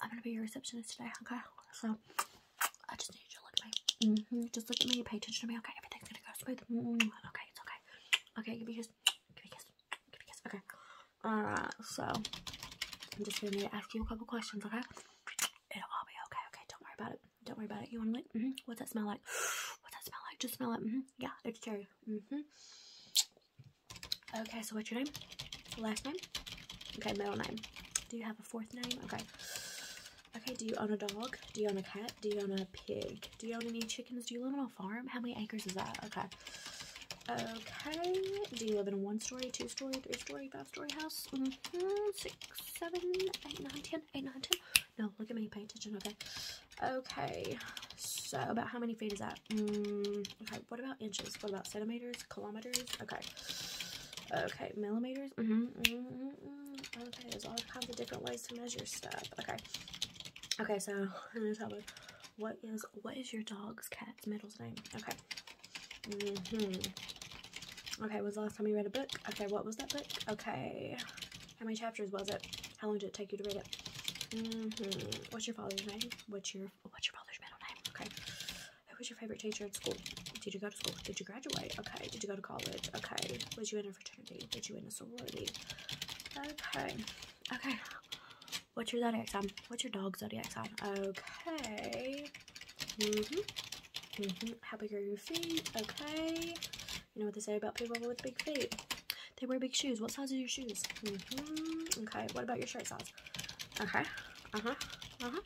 I'm gonna be your receptionist today, okay? So I just need you to look at me. Mm -hmm. Just look at me, pay attention to me, okay? Everything's gonna go smooth. Mm -hmm. Okay, it's okay. Okay, give me a kiss. Give me a kiss. Give me a kiss. Okay. Alright, so I'm just gonna need to ask you a couple questions, okay? It'll all be okay, okay? Don't worry about it. Don't worry about it. You wanna like? Mm -hmm. What's that smell like? What's that smell like? Just smell it. Mm -hmm. Yeah, it's cherry. Mm -hmm. Okay, so what's your name? Last name? Okay, middle name. Do you have a fourth name? Okay. Okay, do you own a dog? Do you own a cat? Do you own a pig? Do you own any chickens? Do you live on a farm? How many acres is that? Okay. Okay, do you live in a one-story, two-story, three-story, five-story house? Mm -hmm. Six, seven, eight, nine, ten, eight, nine, ten. No, look at me, pay attention, okay. Okay, so about how many feet is that? Mm, Okay, what about inches? What about centimeters? Kilometers? Okay. Okay, millimeters? Mm -hmm, Okay, there's all kinds of different ways to measure stuff. Okay. Okay, so I'm tell me what is what is your dog's cat's middle's name? Okay. Mm-hmm. Okay, was the last time you read a book? Okay, what was that book? Okay. How many chapters was it? How long did it take you to read it? hmm What's your father's name? What's your what's your father's middle name? Okay. Who was your favorite teacher in school? Did you go to school? Did you graduate? Okay. Did you go to college? Okay. Was you in a fraternity? Did you in a sorority? Okay. Okay. What's your zodiac sign? What's your dog zodiac sign? Okay. hmm hmm How big are your feet? Okay. You know what they say about people with big feet? They wear big shoes. What size are your shoes? hmm Okay. What about your shirt size? Okay. Uh-huh. Uh-huh.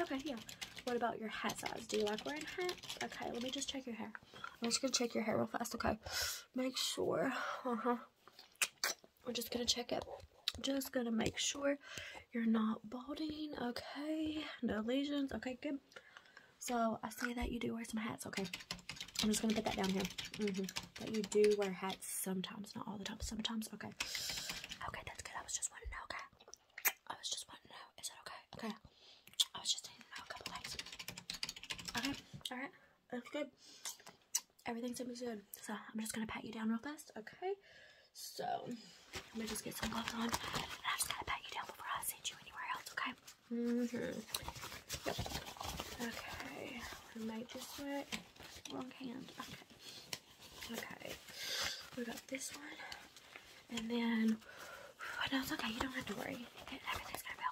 Okay, yeah. What about your hat size? Do you like wearing hats? Okay, let me just check your hair. I'm just gonna check your hair real fast, okay? Make sure. Uh-huh. We're just gonna check it. Just gonna make sure you're not balding, okay? No lesions, okay, good. So, I see that you do wear some hats, okay? I'm just gonna put that down here. Mm-hmm. That you do wear hats right sometimes, not all the time. Sometimes, okay. Okay, that's good. I was just wanting to know, okay? I was just wanting to know. Is it okay? Okay. I was just needing to know a couple things. Okay, alright. That's good. Everything's gonna be good. So, I'm just gonna pat you down real fast, okay? So, I'm gonna just get some gloves on. And I just gotta pat you down before I send you anywhere else, okay? Mm hmm. Yep. Okay. I might just do it. Wrong hand. Okay. Okay. We got this one. And then oh no, okay, you don't have to worry. Everything's gonna be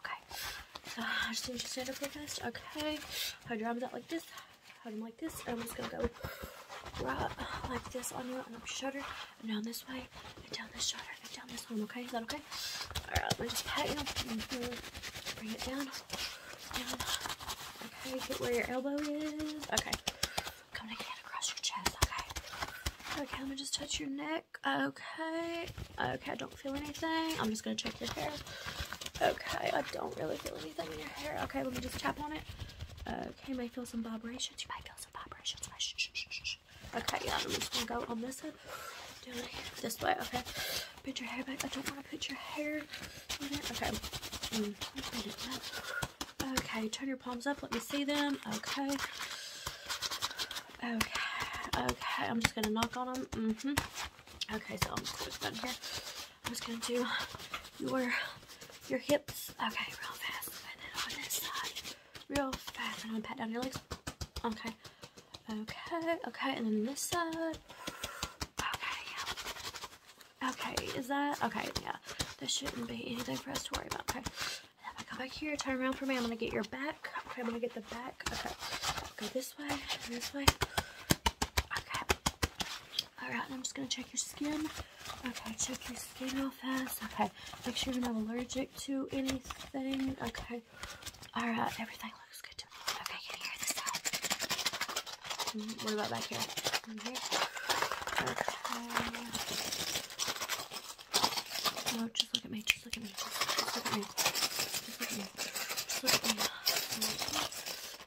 okay. I just need to stand up real fast. Okay. Hold your arms out like this. Hold them like this. I'm just gonna go like this on you and up your shoulder and down this way and down this shoulder and down this one, okay? Is that okay? Alright, let me just pat you. Mm-hmm. Bring it down. Okay, get where your elbow is. Okay. Come again across your chest. Okay. Okay, let me just touch your neck. Okay. Okay, I don't feel anything. I'm just going to check your hair. Okay, I don't really feel anything in your hair. Okay, let me just tap on it. Okay, might feel some vibrations. You might feel some vibrations. Shh, okay, yeah, I'm just going to go on this side. Down here. This way, okay. Put your hair back. I don't want to put your hair in there. Okay. Mm, okay, turn your palms up. Let me see them. Okay. Okay. Okay, I'm just going to knock on them. Mm-hmm. Okay, so I'm just down here. I'm just going to do your, your hips. Okay, real fast. And then on this side. Real fast. And I'm going to pat down your legs. Okay. Okay, okay. And then this side. Okay, yeah. Okay, is that, okay, yeah. There shouldn't be anything for us to worry about. Okay, I come back here, turn around for me. I'm gonna get your back. Okay, I'm gonna get the back. Okay, go this way, this way. Okay. All right, I'm just gonna check your skin. Okay, check your skin real fast. Okay, make sure you're not allergic to anything. Okay. All right, everything looks good Mm, what about back here? Mm-hmm. No, just look at me. Just look at me. Just look at me. Just look at me.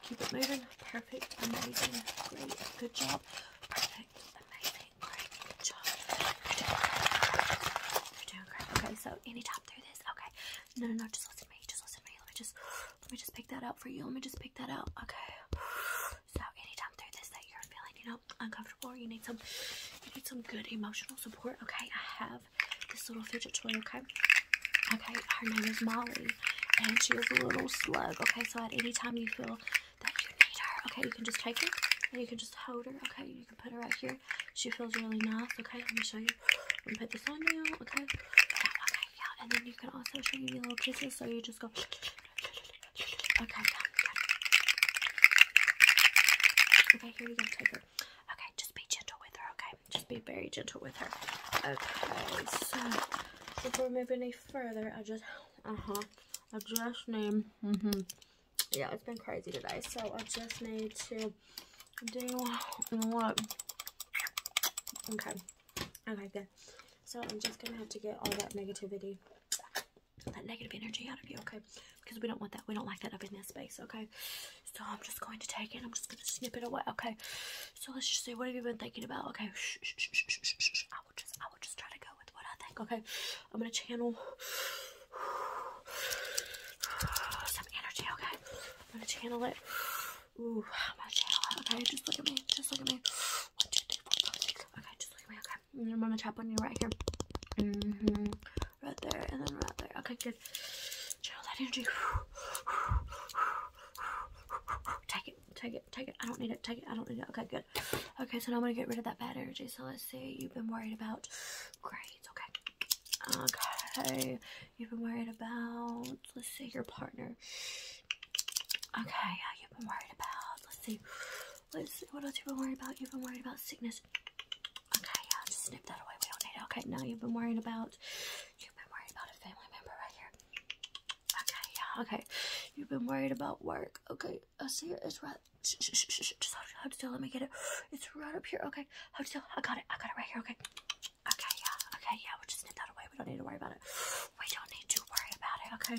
Keep it moving. Perfect. Amazing. Great. Good job. Perfect. Amazing. Great. Good job. You're doing great. Okay, so any through this? Okay. No, no, no. Just listen to me. Just listen to me. Let me just. Let me just pick that out for you. Let me just pick that out. Okay. So anytime through this that you're feeling, you know, uncomfortable or you need some you need some good emotional support, okay, I have this little fidget toy, okay? Okay, her name is Molly and she is a little slug, okay? So at any time you feel that you need her, okay, you can just take her you can just hold her, okay? You can put her right here. She feels really nice, okay? Let me show you. Let me put this on you, okay, yeah, and then you can also show you little kisses, so you just go. Okay, Okay, here you go, take her. Okay, just be gentle with her, okay? Just be very gentle with her. Okay, so before we move any further, I just, uh-huh, I just need, mm-hmm, yeah, it's been crazy today, so I just need to doing what? Okay. Okay, good. So I'm just gonna have to get all that negativity, that negative energy out of you, okay? Because we don't want that. We don't like that up in this space, okay? So I'm just going to take it. I'm just gonna snip it away, okay? So let's just see. What have you been thinking about? Okay. I will just, I will just try to go with what I think, okay? I'm gonna channel some energy, okay? I'm gonna channel it. Ooh, I'm Okay, just look at me. Just look at me. One, two, three, four, five, six. Okay, just look at me. Okay, I'm gonna tap on you right here. Mm hmm Right there, and then right there. Okay, good. Channel that energy. Take it, take it, take it. I don't need it, take it, I don't need it. Okay, good. Okay, so now I'm gonna get rid of that bad energy. So let's see, you've been worried about grades, okay? Okay, You've been worried about, let's say, your partner. Okay, yeah, you've been worried about, let's see, let's, what else you've been worried about? You've been worried about sickness. Okay, yeah, just that away. We Okay, now you've been worried about, you've been worried about a family member right here. Okay, yeah, okay. You've been worried about work. Okay, I see it. It's right. Just hold still. Let me get it. It's right up here. Okay, hold still. I got it. I got it right here. Okay. Okay, yeah, okay, yeah, we'll just knit that away. We don't need to worry about it. We don't need to worry about it, okay?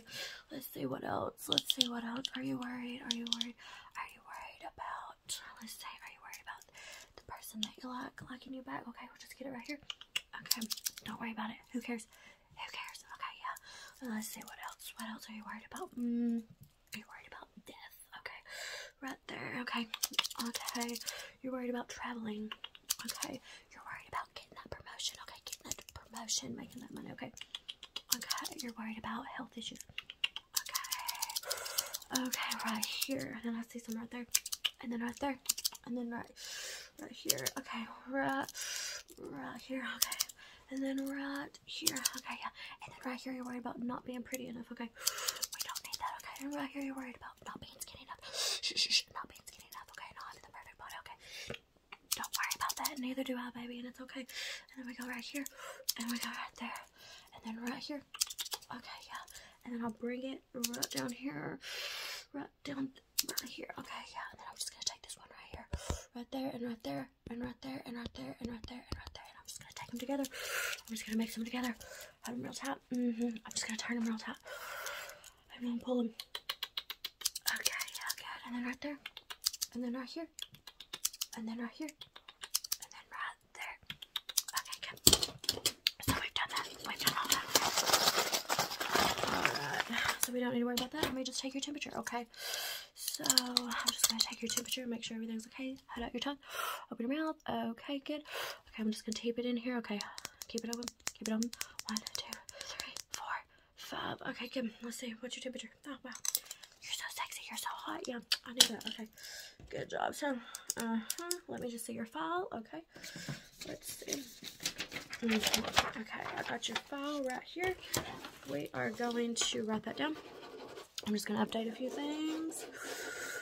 Let's see what else. Let's see what else. Are you worried? Are you worried? Are you worried about, let's say, are you worried about the person that you like locking you back? Okay, we'll just get it right here. Okay, don't worry about it. Who cares? Who cares? Okay, yeah. Let's see what else. What else are you worried about? Mm, are you worried about death? Okay, right there. Okay. Okay. You're worried about traveling. Okay. You're worried about getting that promotion. Okay. Getting that promotion, making that money. Okay. Okay. You're worried about health issues. Okay. Okay. Right here. And then I see some right there. And then right there. And then right. Right here. Okay. Right. Right here. Okay. And then right here. Okay. Yeah. And then right here. You're worried about not being pretty enough. Okay. We don't need that. Okay. And right here. You're worried about not being skinny enough. not being skinny enough. Okay, not having the perfect body. Okay, don't worry about that. Neither do I, baby, and it's okay. And then we go right here, and we go right there, and then right here. Okay, yeah. And then I'll bring it right down here, right down right here. Okay, yeah. And then I'm just gonna take this one right here, right there, and right there, and right there, and right there, and right there, and I'm just gonna take them together. I'm just gonna make them together. Have them real tight. -hmm. I'm just gonna turn them real tight. I'm gonna pull them. Okay, good. And then right there. And then right here. And then right here. And then right there. Okay, good. So we've done that. We've done all that. Alright. So we don't need to worry about that. Let me just take your temperature, okay? So I'm just gonna take your temperature make sure everything's okay. Hold out your tongue. Open your mouth. Okay, good. Okay, I'm just gonna tape it in here. Okay, keep it open. Keep it on. One, two, three, four, five. Okay, good. Let's see. What's your temperature? Oh wow. You're so sexy. You're so hot. Yeah, I knew that. Okay. Good job. So, uh huh. Let me just see your file. Okay. Let's see. Okay, I got your file right here. We are going to write that down. I'm just going to update a few things.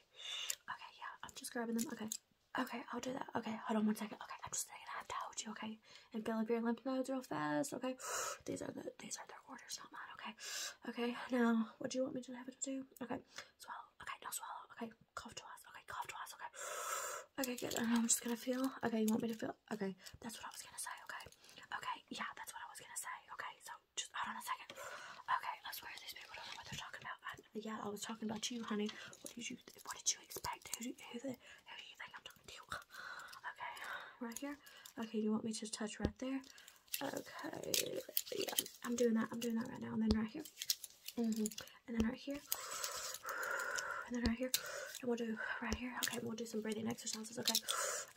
Okay. yeah. I'm just grabbing them. Okay. Okay, I'll do that. Okay, hold on one second. Okay, I'm just gonna have to hold you, okay? And feel up your lymph nodes real fast, okay? These are the these are their orders, not mine, okay? Okay, now what do you want me to have it to do? Okay, swallow. Okay, now swallow. Okay, cough twice. Okay, cough twice. Okay. Okay, good. I'm just gonna feel. Okay, you want me to feel? Okay, that's what I was gonna say. Okay. Okay, yeah, that's what I was gonna say. Okay, so just hold on a second. Okay, I swear these people don't know what they're talking about. yeah, I was talking about you, honey. What did you What did you expect? Who the Who do you think I'm talking to? Okay, right here. Okay, you want me to touch right there? Okay, yeah, I'm doing that. I'm doing that right now, and then right here, -hmm. and then right here, and then right here, and we'll do right here. Okay, we'll do some breathing exercises. Okay,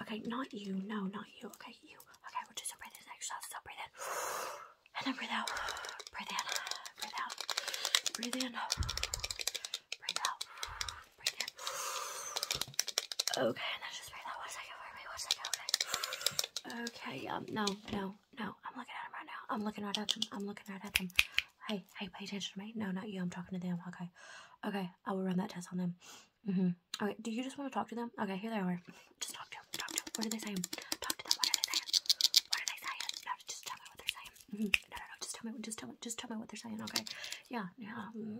okay, not you. No, not you. Okay, you. Okay, we'll do some breathing exercises. So breathe in. And then breathe out. Breathe in. Breathe out. Breathe in. Breathe out. Breathe in. Okay, and then just breathe out. One second for me. One second. Okay. Okay, um, no, no, no. I'm looking at him right now. I'm looking right at them. I'm looking right at them. Hey, hey, pay attention to me. No, not you. I'm talking to them. Okay. Okay, I will run that test on them. Mm-hmm. Okay, do you just want to talk to them? Okay, here they are. Just talk to them. Talk to them. What are they saying? Talk to them. What are they saying? What are they saying? No, just tell me what they're saying. Mm -hmm. No, no, no. Just tell me. Just tell me. Just tell me what they're saying. Okay. Yeah. Yeah. Mm,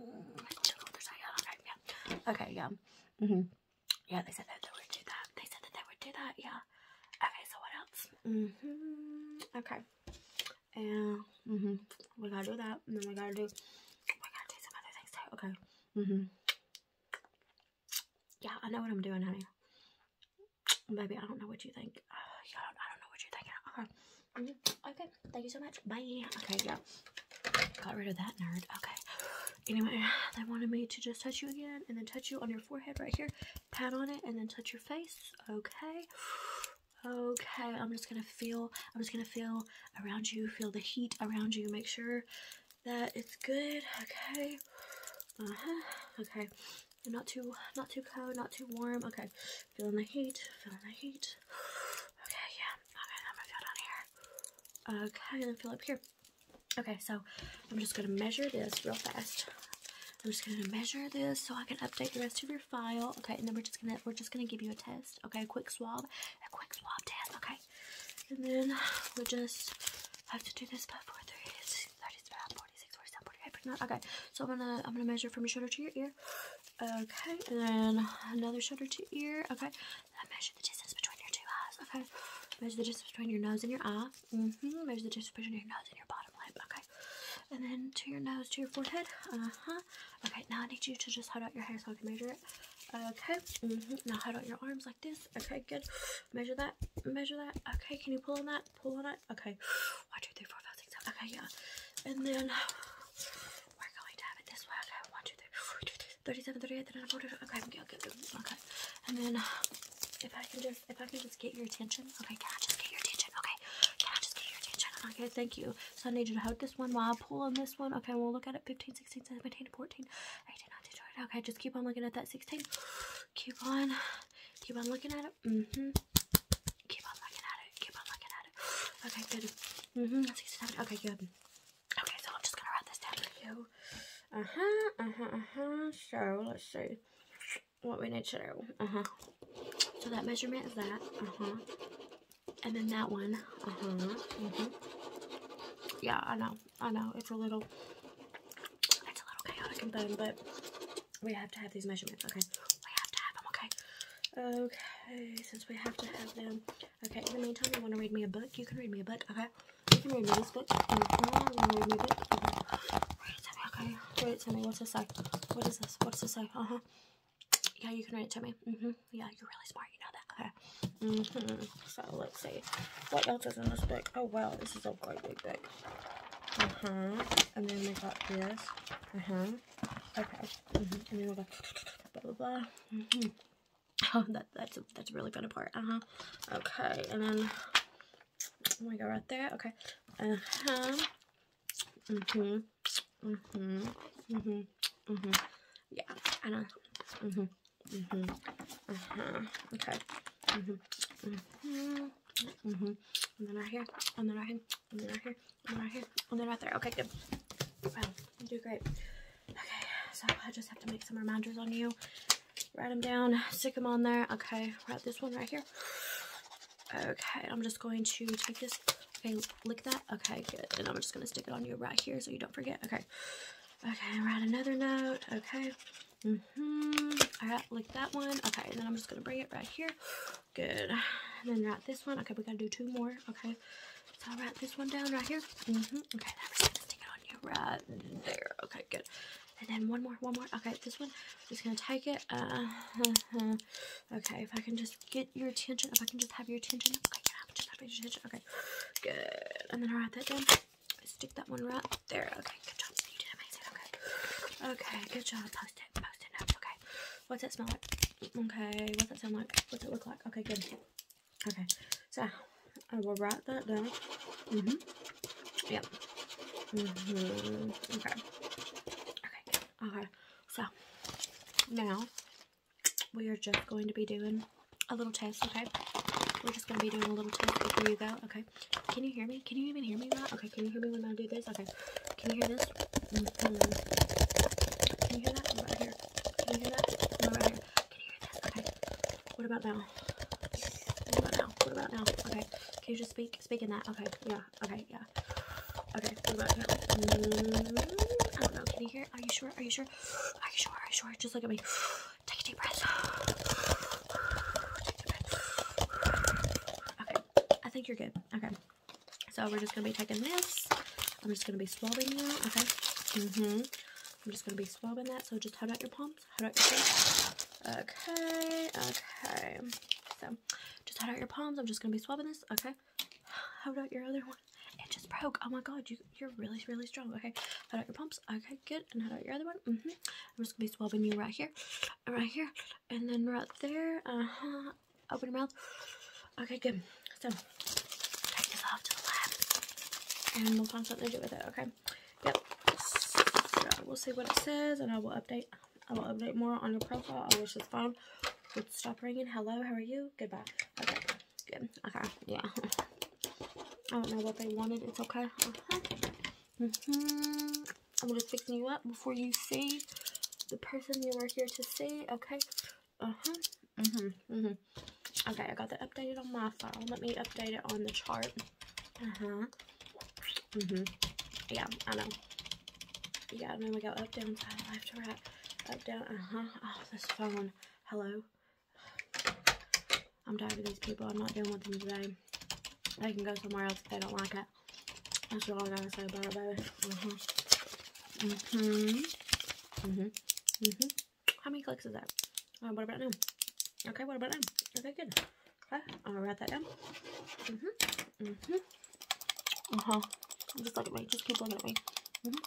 tell me what they're saying. Okay. Yeah. Okay. Yeah. Mm-hmm. Yeah. They said that they would do that. They said that they would do that. Yeah. Okay. So what else? Mm-hmm. Okay. And mm-hmm. We gotta do that. And then we gotta do. We gotta do some other things too. Okay. Mm hmm Yeah, I know what I'm doing, honey. Baby, I don't know what you think. I don't know what you're Okay. Uh-huh. Mm-hmm. Okay. Thank you so much. Bye. Okay, yeah. Got rid of that nerd. Okay. Anyway, they wanted me to just touch you again and then touch you on your forehead right here. Pat on it and then touch your face. Okay. Okay, I'm just gonna feel, I'm just gonna feel around you, feel the heat around you, make sure sure that it's good, okay? Uh-huh, okay. Not too, not too cold, not too warm, okay. Feeling the heat, feeling the heat. Okay, yeah, okay, I'm gonna feel down here. Okay, then feel up here. Okay, so I'm just gonna measure this real fast. I'm just gonna measure this so I can update the rest of your file. Okay, and then we're just gonna we're just gonna give you a test. Okay, a quick swab, a quick swab test. Okay, and then we'll just have to do this by 4, 30, 35, 46, 47, 48, 49. Okay, so I'm gonna I'm gonna measure from your shoulder to your ear. Okay, and then another shoulder to ear. Okay, I measure the distance between your two eyes. Okay, measure the distance between your nose and your eye. Mm hmm Measure the distance between your nose and your bottom lip. Okay, and then to your nose to your forehead. Uh huh. Okay, now I need you to just hold out your hair so I can measure it. Okay, mm-hmm. now hold out your arms like this. Okay, good. Measure that, measure that. Okay, can you pull on that? Pull on it. Okay, one, two, three, four, five, six, seven. Okay, yeah. And then we're going to have it this way. Okay, one, two, three, four, two, three, okay, okay. And then if I can just, if I can just get your attention. Okay, can I just get your attention? Okay, can I just get your attention? Okay, thank you. So I need you to hold this one while I pull on this one. Okay, we'll look at it 15 16, 17, 14, not destroy it. Okay, just keep on looking at that 16. Keep on, keep on looking at it. hmm. Keep on looking at it. Keep on looking at it. Okay, good. hmm. Okay, good. Okay, so I'm just gonna write this down for you. Uh huh. Uh huh. Uh huh. So let's see what we need to do. Uh huh. So that measurement is that. Uh huh. And then that one. Mm-hmm. Mm-hmm. Yeah, I know. I know. It's a little it's a little chaotic and fun, but we have to have these measurements, okay? We have to have them, okay? Okay, since we have to have them. Okay, in the meantime, you want to read me a book? You can read me a book, okay? You can read me this book. read Okay. it to me, okay? Read it to me. What's this say? What is this? What's this say? Uh-huh. Yeah, you can read it to me. Mm-hmm. Yeah, you're really smart. You know that. Okay. Mm-hmm. So let's see. What else is in this book? Oh, wow. This is a great big book. Uh huh. And then we got this. Uh huh. Okay. Mm -hmm. And then we got blah blah blah. Mm -hmm. Oh, that that's a, that's a really fun part. Uh huh. Okay. And then we go right there. Okay. Uh huh. Mm hmm Mm-hmm. Mm-hmm. Mm-hmm. Yeah, I know. Mm-hmm. Mm-hmm. Uh-huh. Okay. Mm-hmm. Mm-hmm. Mm-hmm. And then right here. And then right here. And then right here. And then right here. And then right there. Okay, good. Wow, you do great. Okay, so I just have to make some reminders on you. Write them down. Stick them on there. Okay, write this one right here. Okay, I'm just going to take this. Okay, lick that. Okay, good. And I'm just going to stick it on you right here so you don't forget. Okay. Okay, write another note. Okay. Mm hmm All right, like that one. Okay, and then I'm just going to bring it right here. Good. And then write this one. Okay, we got to do two more. Okay. So I'll write this one down right here. hmm Okay, I'm going to stick it on you right there. Okay, good. And then one more, one more. Okay, this one, just going to take it. Uh, okay, if I can just get your attention, if I can just have your attention. Okay, Okay, good. And then I write that down. Stick that one right there. Okay, good job. You did amazing. Okay, okay, good job. Post it, post it notes. Okay, what's that smell like? Okay, what's it sound like? What's it look like? Okay, good. Okay, so I will write that down. Mhm. Mm yep. Mhm. okay. Okay. Good. Okay. So now we are just going to be doing a little test, okay? We're just going to be doing a little test before you go, okay? Can you hear me? Can you even hear me now? Okay, can you hear me when I do this? Okay, can you hear this? Mm, mm, mm. Can you hear that? right here. Can you hear that? right here. Can you hear this? Okay. What about now? What about now? What about now? Okay. Can you just speak? Speak in that. Okay. Yeah. Okay. Yeah. Okay. What about now? I don't know. Can you hear? Are you sure? Are you sure? Are you sure? Are you sure? Just look at me. Take a deep breath. Okay. I think you're good. Okay. So we're just gonna be taking this. I'm just gonna be swabbing you. Okay. hmm I'm just gonna be swabbing that. So just hold out your palms. Hold out your palms. Okay. Okay. So just hold out your palms. I'm just gonna be swabbing this. Okay. Hold out your other one? It just broke. Oh my god, you are really really strong. Okay, hold out your pumps? Okay, good. And hold out your other one? Mm hmm I'm just gonna be swabbing you right here, right here, and then right there. Uh huh. Open your mouth. Okay, good. So take this off to the lab, and we'll find do with it. Okay. Yep. we'll see what it says, and I will update. I will update more on your profile. I wish this phone would stop ringing. Hello, how are you? Goodbye. Okay. Good. Okay. Yeah. I don't know what they wanted. It's okay. Uh -huh. -hmm. I'm just fixing you up before you see the person you were here to see. Okay. Uh-huh. hmm hmm Okay, I got that updated on my phone. Let me update it on the chart. Uh-huh. hmm Yeah, I know. Yeah, I know we go up, down, side, left to wrap. Up, down, uh-huh. Oh, this is fun. Hello. I'm tired of these people. I'm not dealing with them today. They can go somewhere else if they don't like it. That's all I gotta say about it, baby. Mm-hmm. Mm-hmm. Mm-hmm. Mm-hmm. How many clicks is that? Uh, what about now? Okay, what about now? Okay, good. Okay, I'm gonna write that down. Mm-hmm. Mm-hmm. Uh-huh. Just look at me. Just keep looking at me. Mm-hmm.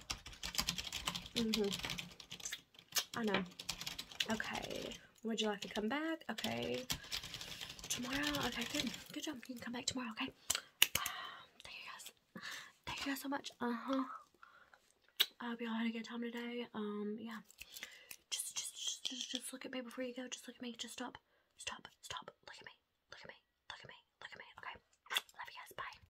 Mm-hmm. I know. Okay. Would you like to come back? Okay. Tomorrow? Okay, good. Good job. You can come back tomorrow, okay? thank you guys. Thank you guys so much. Uh-huh. I hope y'all had a good time today. Um, yeah. Just, just, just, just, just look at me before you go. Just look at me. Just stop. Stop. Stop. Look at me. Look at me. Look at me. Look at me. Okay. Love you guys. Bye.